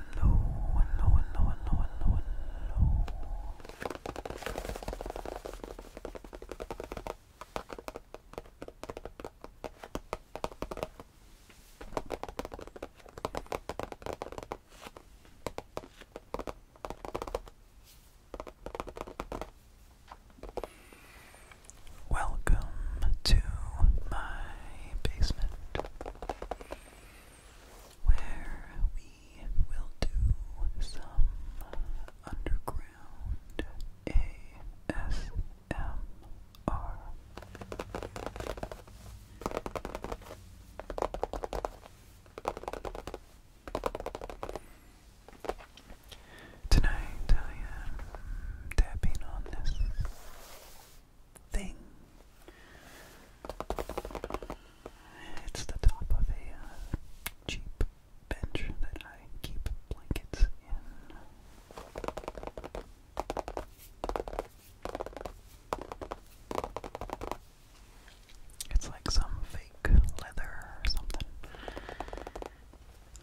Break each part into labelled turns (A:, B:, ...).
A: hello, hello, Welcome to my basement where we will do some underground ASMR. Tonight I am tapping on this thing. It's the top of a uh, cheap bench that I keep blankets in. It's like some fake leather or something.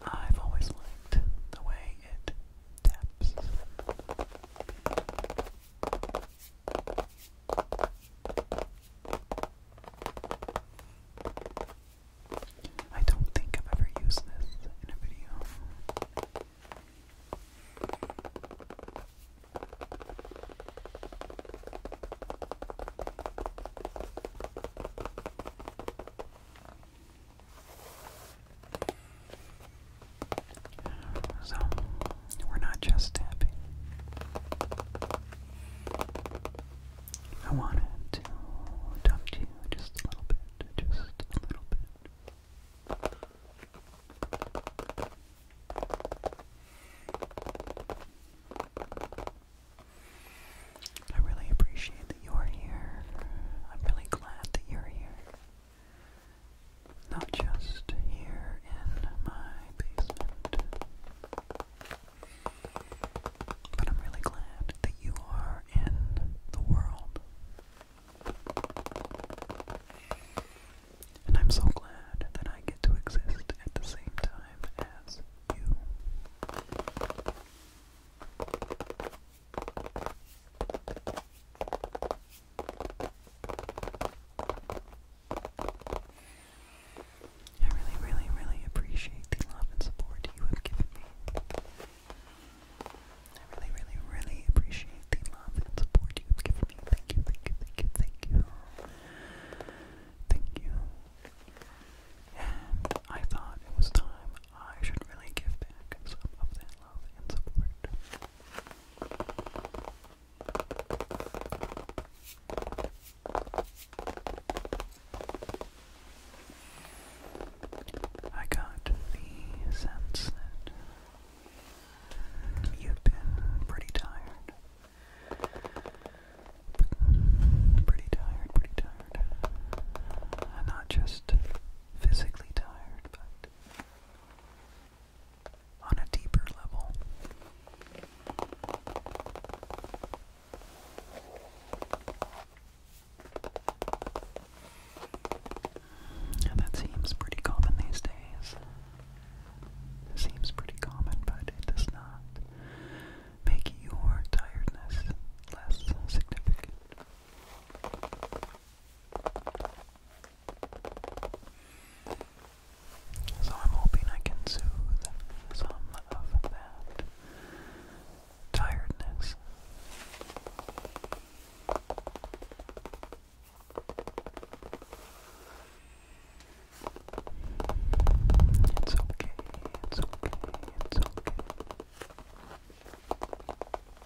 A: I've always liked the way it taps. I don't think I've ever used this in a video. So, we're not
B: just tapping. I wanted to talk to you just a little bit, just a little bit. I really appreciate that you're here. I'm really glad that you're here. Not just here in my basement. But I'm really glad that you are in the world. And I'm so glad that I get to exist at the same time as you. I really, really, really appreciate the love and support you have given me. I really, really, really appreciate the love and support you have given me. Thank you, thank you, thank you, thank you. Thank you. And I thought it was time I should really give back some of that love and support. I got the sense that you've been pretty tired. Pretty tired, pretty tired. Not just physically tired, but on a deeper level. that seems pretty common these days. seems pretty common, but it does not make your tiredness less significant. So I'm hoping I can soothe some of that tiredness. It's okay, it's okay, it's okay.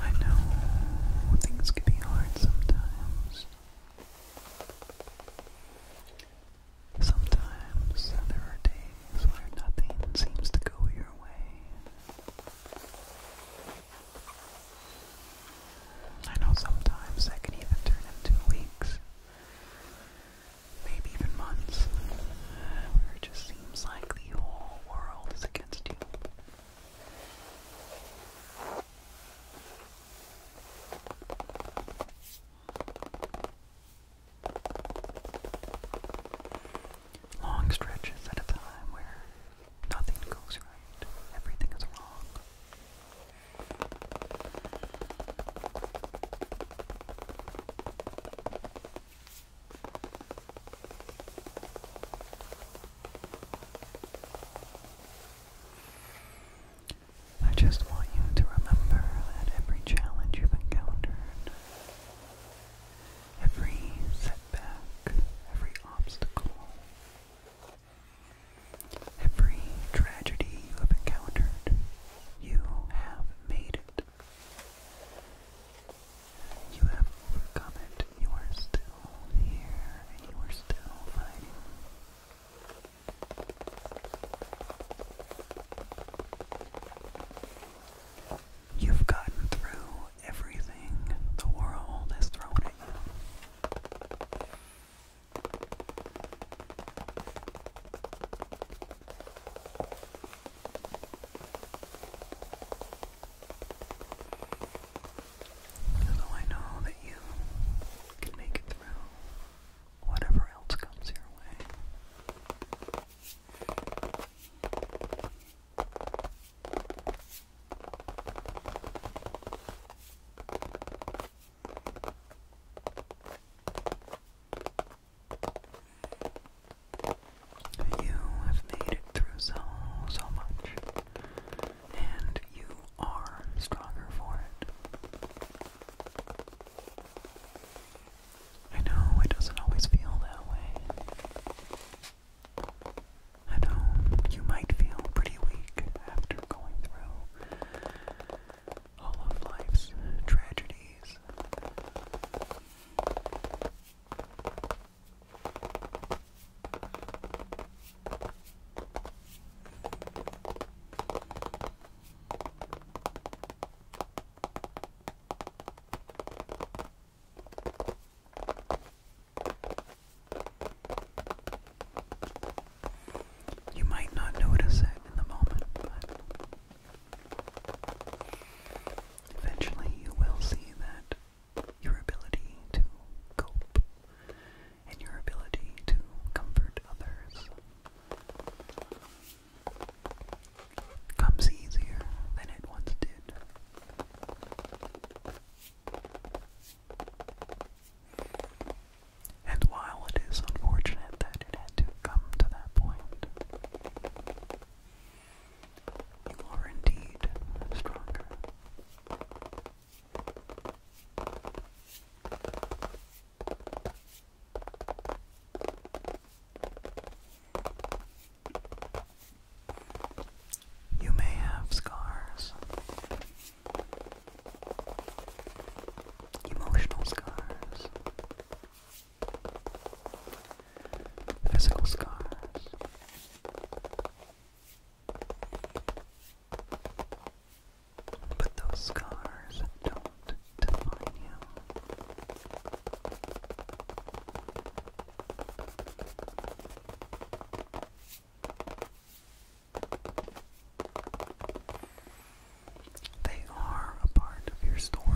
A: I know things can be hard sometimes. Sometimes there are days where nothing seems to go your way. I know sometimes that can even turn into weeks, maybe even months, where it just seems like the whole world is against you. Long stretches at a time where nothing goes right, everything is wrong. I just want you to remember that every challenge you've encountered, every setback, every obstacle, every tragedy you have encountered, you have made it. You have overcome it. You are still here and you are still fighting. You've gotten through everything the world has thrown at you. So I know that you can make it through whatever else comes your way. You have made it through so, so much, and you are stronger for it. I know it doesn't always feel that way. I know you might feel pretty weak after going through all of life's tragedies. You might not notice it in the moment, but eventually you will see that your ability to cope and your ability to
C: comfort others comes easier than it once did. And while it is unfortunate that it had to come to that point, you are indeed stronger. You may have scars, emotional scars, physical scars. But those
D: scars don't define you. They are a part of your story.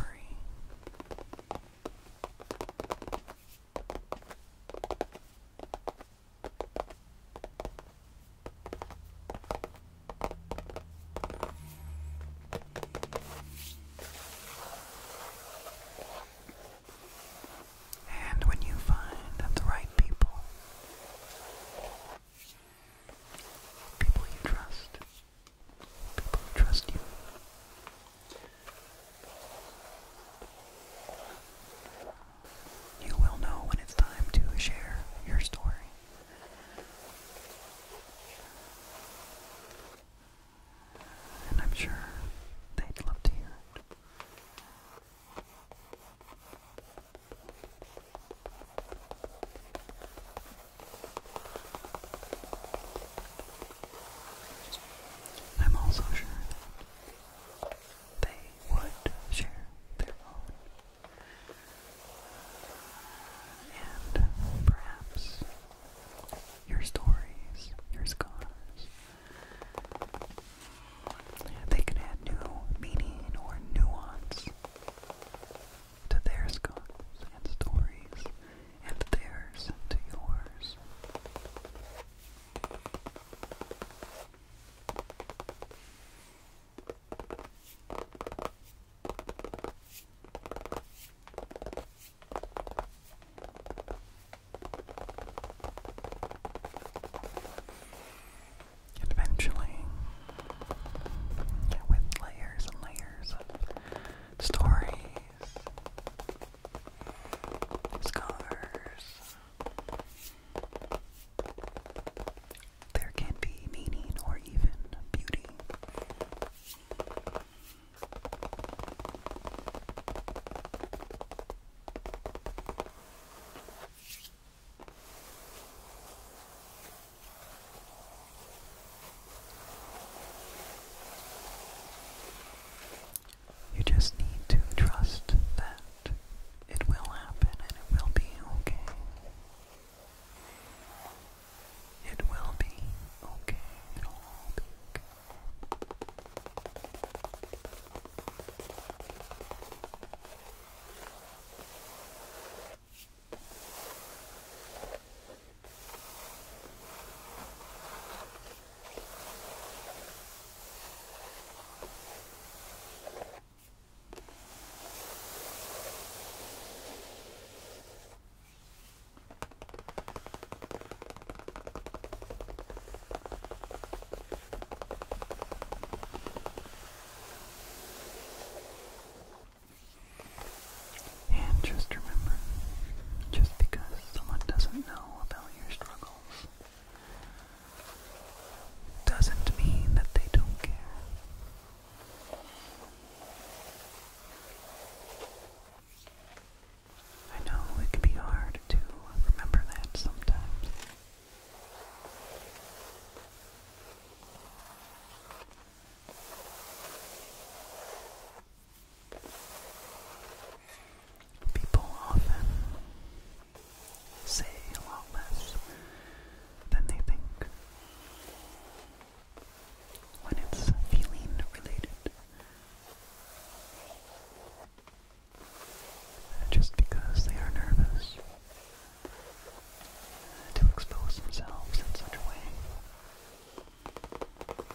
D: And when you find the right people, people you trust, people trust you, you will know when it's time to share your story. And I'm sure they'd love to hear it.
C: I'm also sure that they would share their own. And perhaps your stories, your scars, they can add new meaning or nuance to their scars and stories, and theirs to yours. And eventually, with layers and layers of stories, scars, there can be meaning or even beauty.
D: You just need to trust that it will happen and it will be okay. It will be okay. It'll be
E: and just remember, just because someone doesn't know about your struggles doesn't mean that they don't care. I know it can be hard to remember that sometimes. People often say a lot less than they think when it's feeling related. Just because they are nervous to expose themselves in such a way.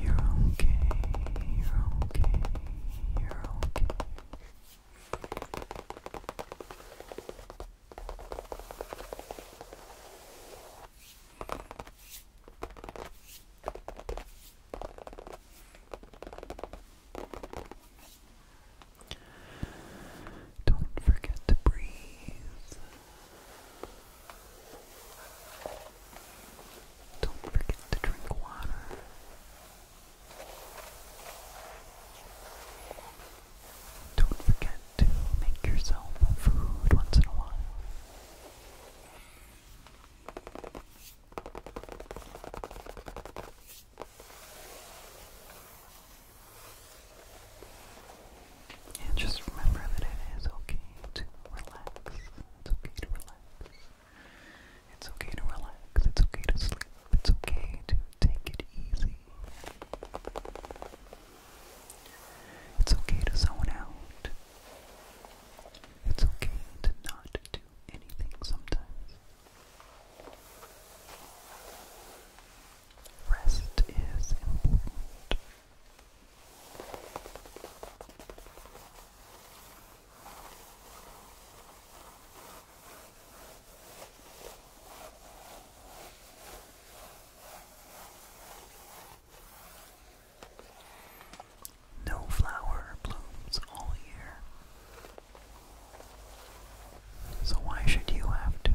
E: You're okay. You're okay. You're okay.
A: Don't forget to breathe. Don't forget to drink water. Don't forget to make yourself food once in a while. And just remember that it is okay to relax. It's okay to relax. It's okay to relax. It's okay to sleep. It's okay to take it easy. It's okay to zone out. It's okay to not do anything sometimes. Rest is important. No flower blooms all year. So why should you have to?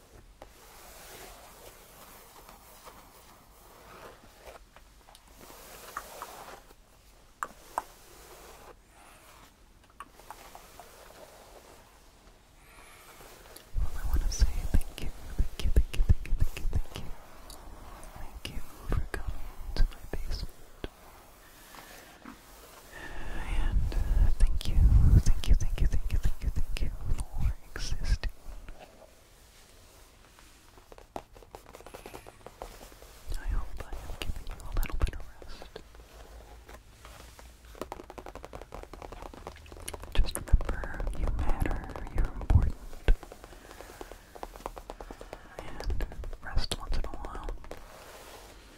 A: well, I want to say thank you, thank you, thank you, thank you, thank you, thank you, thank you for coming to my basement. And uh, thank you, thank you, thank you, thank you, thank you, thank you for existing. I hope I have given you a little bit rest. Just remember, you matter, you're important. And rest once in a while